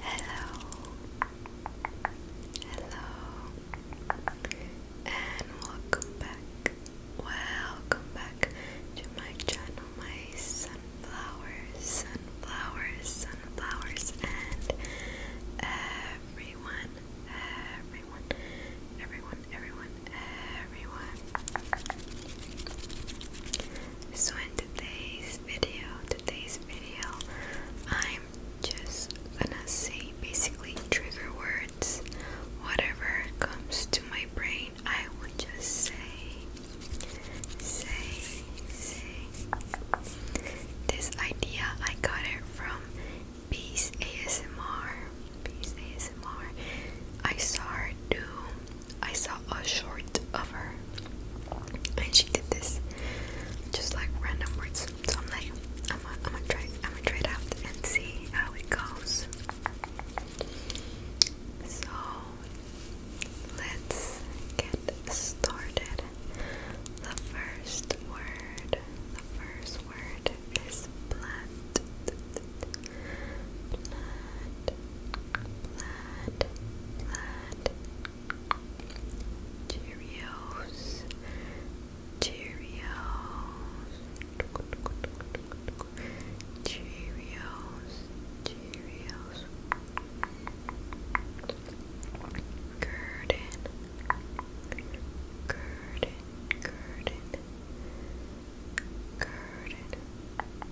Hello, hello, and welcome back. Welcome back to my channel, my sunflowers, sunflowers, sunflowers, and everyone, everyone, everyone, everyone, everyone. So in today's video, today's video, I'm just gonna say basically trigger words. Whatever comes to my brain, I will just say, say, say. This idea I got it from Peace ASMR. Peace ASMR. I saw her do I saw a short of her and she did this just like random words. So I'm like, I'm gonna, I'm gonna try, I'm gonna try it out and see how it goes. So let's get started. The first word, the first word is plant. Plant, plant, plant, Cheerios. Cheerios. Cheerios. Cheerios. Curtain. Curtain. Curtain. Curtain.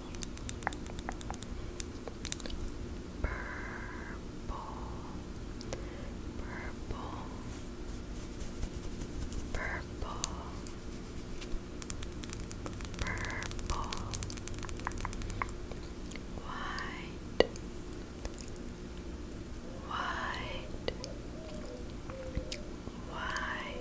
purple, purple, purple, white, white, white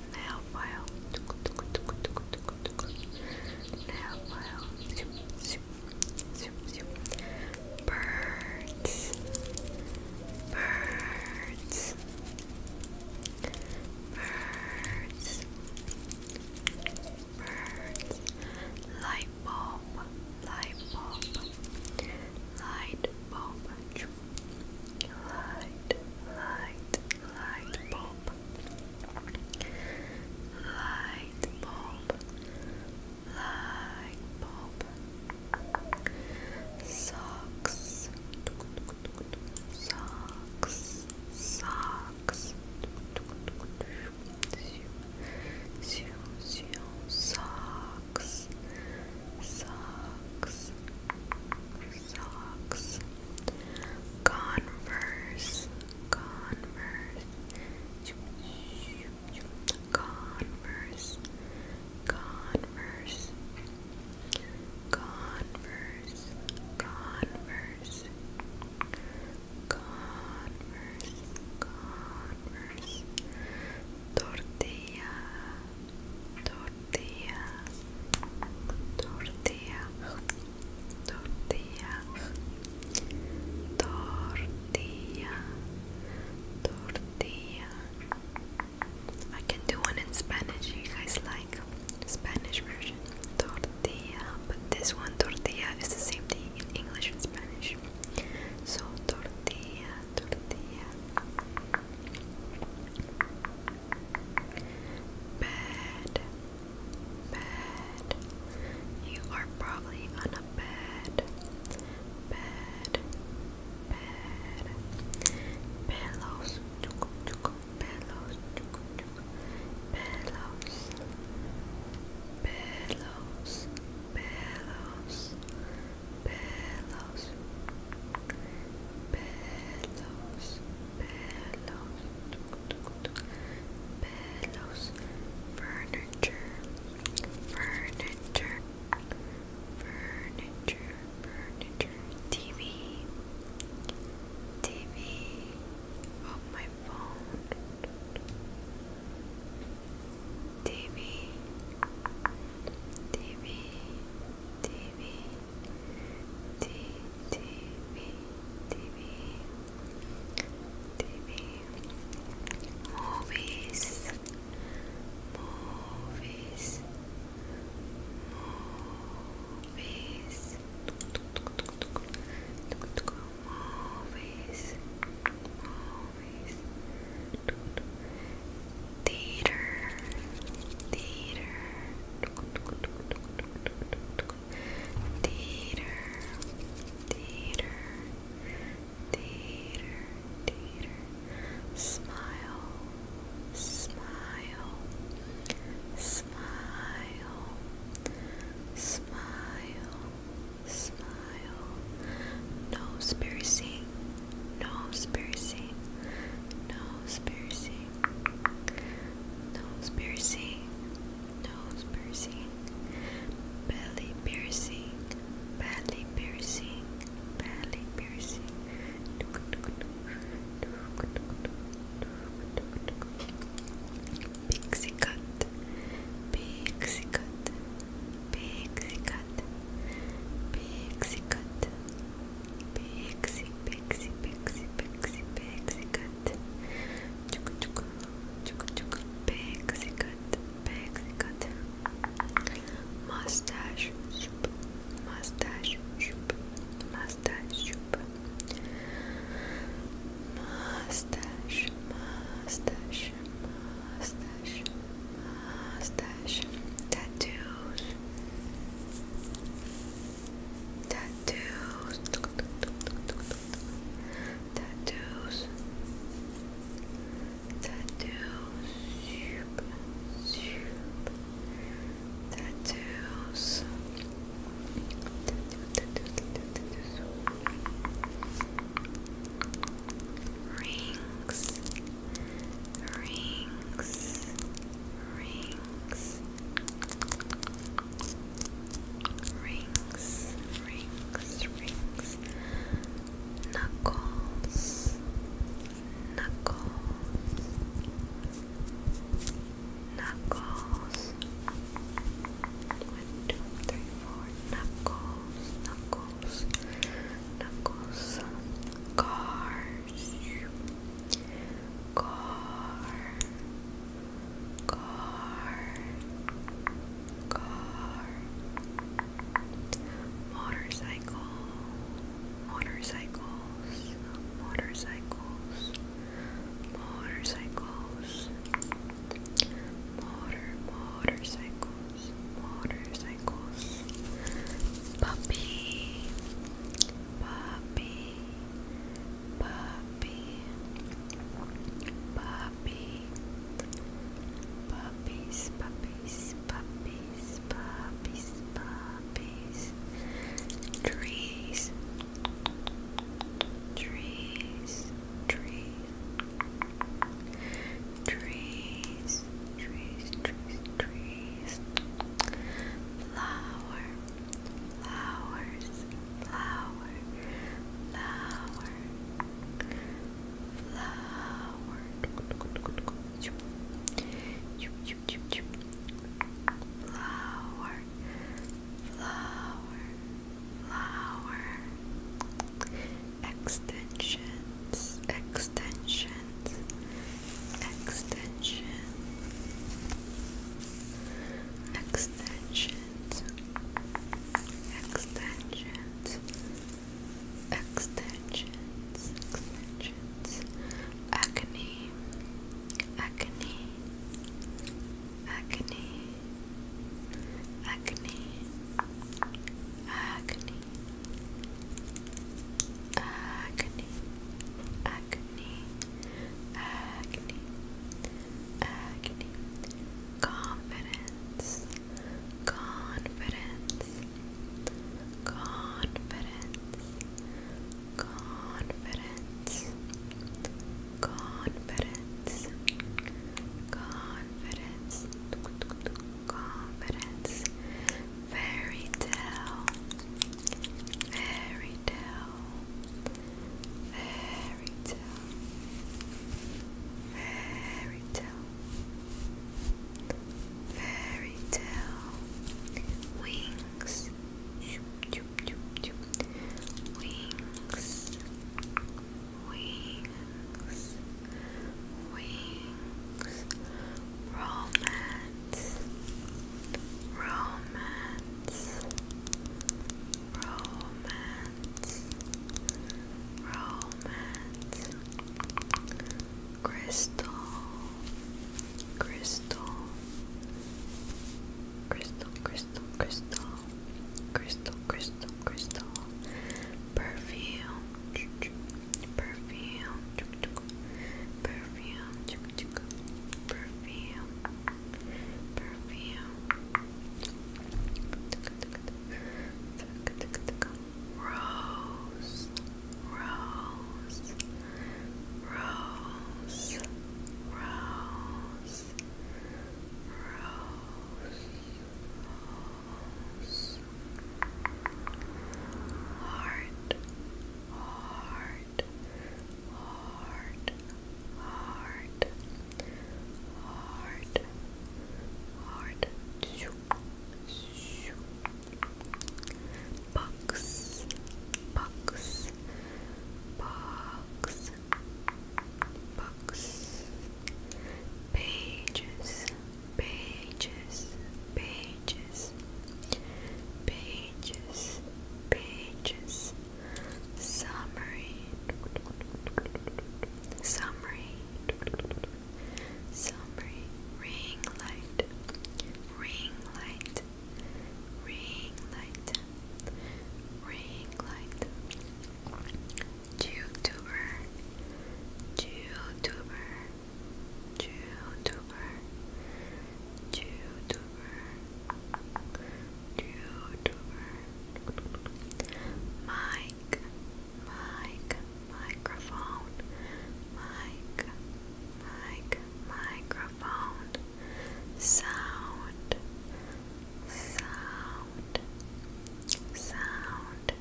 nail file, nail file, zoom, zoom, zoom, zoom. Birds, birds, birds, birds. Light bulb, light bulb, light bulb. Light, light, light bulb light bulb light bulb socks socks socks socks socks socks, converse, converse, converse, converse, converse, converse. Converse, converse, tortilla, tortilla, tortilla, tortilla, tortilla, tortilla. I can do one in Spanish. You guys like Spanish version? Tortilla, but this one tortilla is the same thing in English and Spanish. So tortilla, tortilla. Bed. Bed. You are probably on a bed. Bed. Bed. Pillows. Pillows. Pillows. Pillows. Pillows. Pillows pelos, pelos, pelos, furniture, furniture, furniture, furniture, TV, TV, oh my phone, TV, TV, TV, T T V T V T V movies movies movies movies movies theater theater Theater, theater, theater, theater. Smile, smile, smile, smile, smile. Nose piercing, nose piercing, nose piercing, nose piercing, nose piercing, belly piercing, belly piercing, belly piercing. Pixie cut, pixie cut, pixie cut, pixie cut, Pixie, pixie, pixie, pixie, pixie cut. Chuka chuka, chuka chuka, pixie cut, pixie cut. Mustache, shoop, mustache, mustache, Mustache, mustache, mustache, mustache. Tattoos, Tattoos. Tattoos. Tattoos. Tattoos. Rings, rings, rings, rings, rings, rings, knuckles, knuckles, knuckles. One, two, three, four. Knuckles, knuckles, knuckles. Car, car, car, car, motorcycle, motorcycles, motorcycles, motorcycles, motor, motorcycles, motorcycles, puppy, puppy. Puppy, puppy, puppies, puppies, puppies, puppies, puppies, trees, trees, trees, trees, trees, trees, trees, flower flowers, flower, flower, flower, extensions, extensions extension, extensions, extensions, extensions, extensions, acne, acne, acne, acne. Acne, acne, acne, acne, acne, confidence, confidence, confidence, confidence, confidence, confidence, confidence. Fairy tale, fairy tale, fairy wings, wings, wings, wings, romance romance, romance, romance, crystal, crystal, crystal, crystal, crystal, crystal, crystal, crystal, perfume. Perfume, perfume, perfume, perfume, rose, rose, rose, rose, rose, heart, heart heart, heart, heart, heart, heart, bucks, bucks, bucks, pages, pages, pages, pages, pages, summary, summary, summary, ring light, ring light, ring light, ring light, YouTuber, YouTuber. YouTuber, YouTuber, YouTuber, mic, mic, microphone, mic, mic, microphone, sound, sound, sound,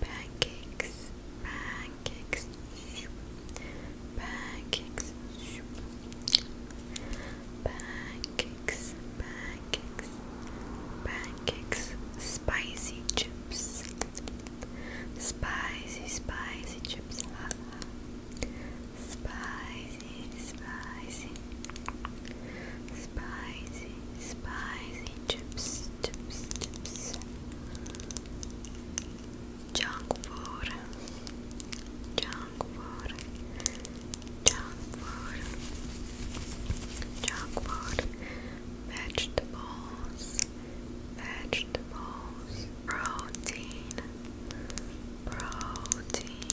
pancakes, pancakes pancakes, pancakes, pancakes, pancakes, pancakes, spicy chips, spicy, spicy chips, spicy, spicy, spicy, spicy chips, Spicy, junk food, junk food, junk food, junk food, vegetables, vegetables, protein, protein,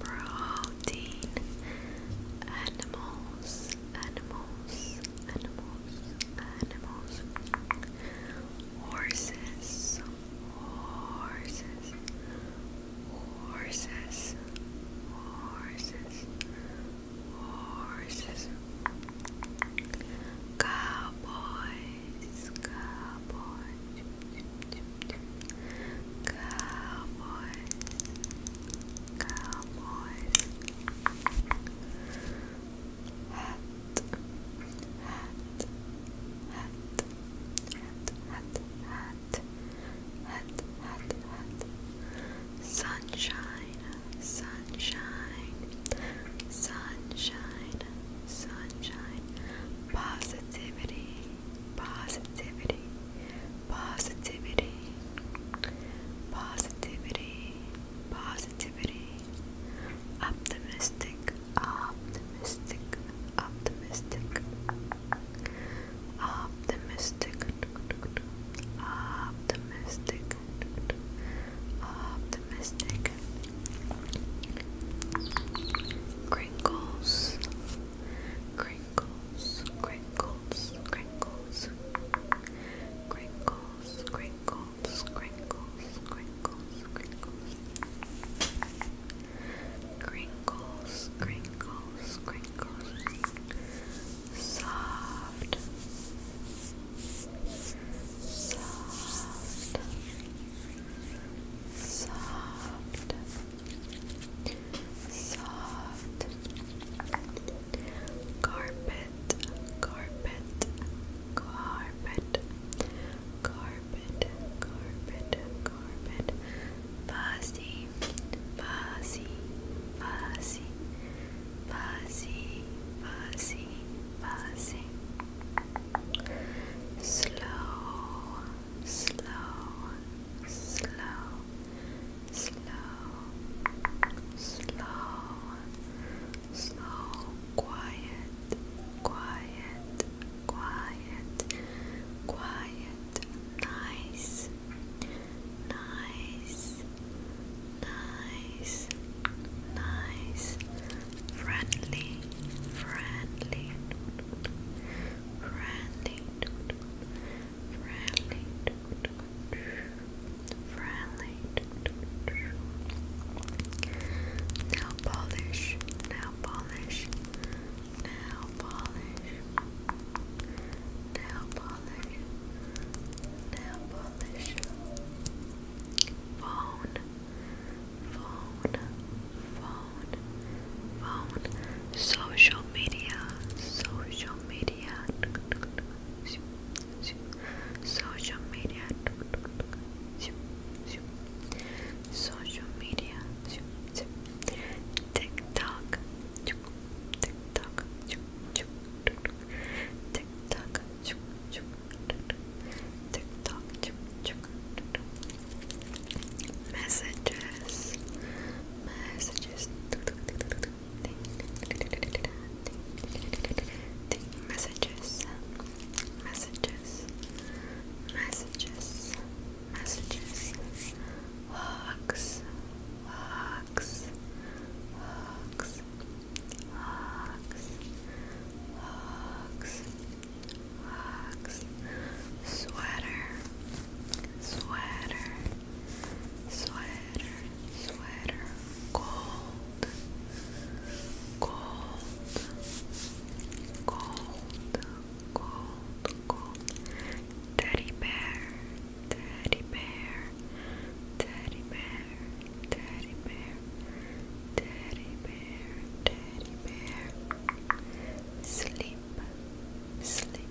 protein, animals, animals, animals, animals horses, horses, horses, horses, horses, cowboys, cowboys, cowboys, cowboys hat, hat, hat, hat, hat, hat, hat, hat, sunshine, sunshine, sunshine, sunshine, positivity, positivity, positivity, positivity positivity, optimistic, optimistic, optimistic, optimistic, optimistic, optimistic, crinkles, crinkles, crinkles, crinkles, crinkles, crinkles crinkles, crinkles, crinkles, crinkles. Crinkles, crinkles, Soft. Soft. Soft. Soft. Carpet carpet, carpet, carpet, carpet, carpet, fuzzy, fuzzy, fuzzy, fuzzy, fuzzy, fuzzy, slow, slow, slow, slow, slow. Slow, slow, quiet, quiet, quiet, quiet, nice, nice, nice, nice, friendly, friendly, friendly, friendly. Friendly, Nail polish, nail polish, nail polish, nail polish, nail polish, phone, phone, phone, phone, social media, social media social media social media TikTok TikTok TikTok TikTok messages messages messages messages, messages, messages, walks, walks, walks, walks, walks, walks, sweater, sweater, sweater, sweater, cold, cold, cold, cold, cold. Teddy bear, teddy bear, teddy bear, teddy bear, teddy bear, teddy bear. Sleep, sleep,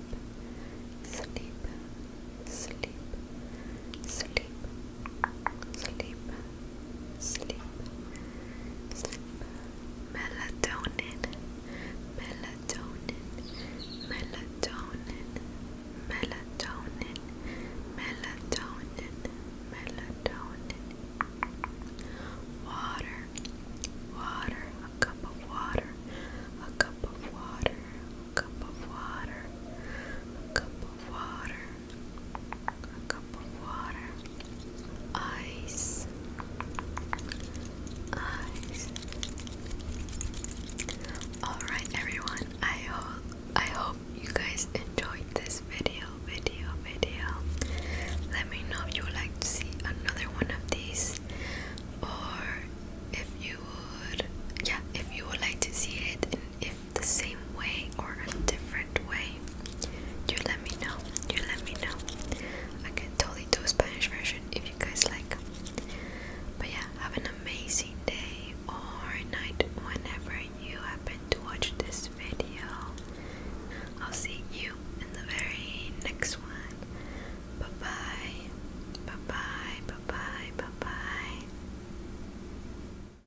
sleep, sleep, sleep sleep, sleep, sleep, melatonin, melatonin, melatonin, melatonin, melatonin, melatonin, water, water, a cup of water, a cup of water, a cup of water, a cup of water a cup of water, ice, ice. All right, everyone. I hope I hope you guys enjoyed this video, video, video. Let me know if you would like to see another one of these, or if you would, yeah, if you would like to see it, and the same way or a different way, you let me know. You let me know. I can totally do a Spanish version if you guys like. But yeah, have an amazing day or night whenever you happen to watch this video. I'll see you in the very next one. Bye bye. Bye bye. Bye bye. Bye bye.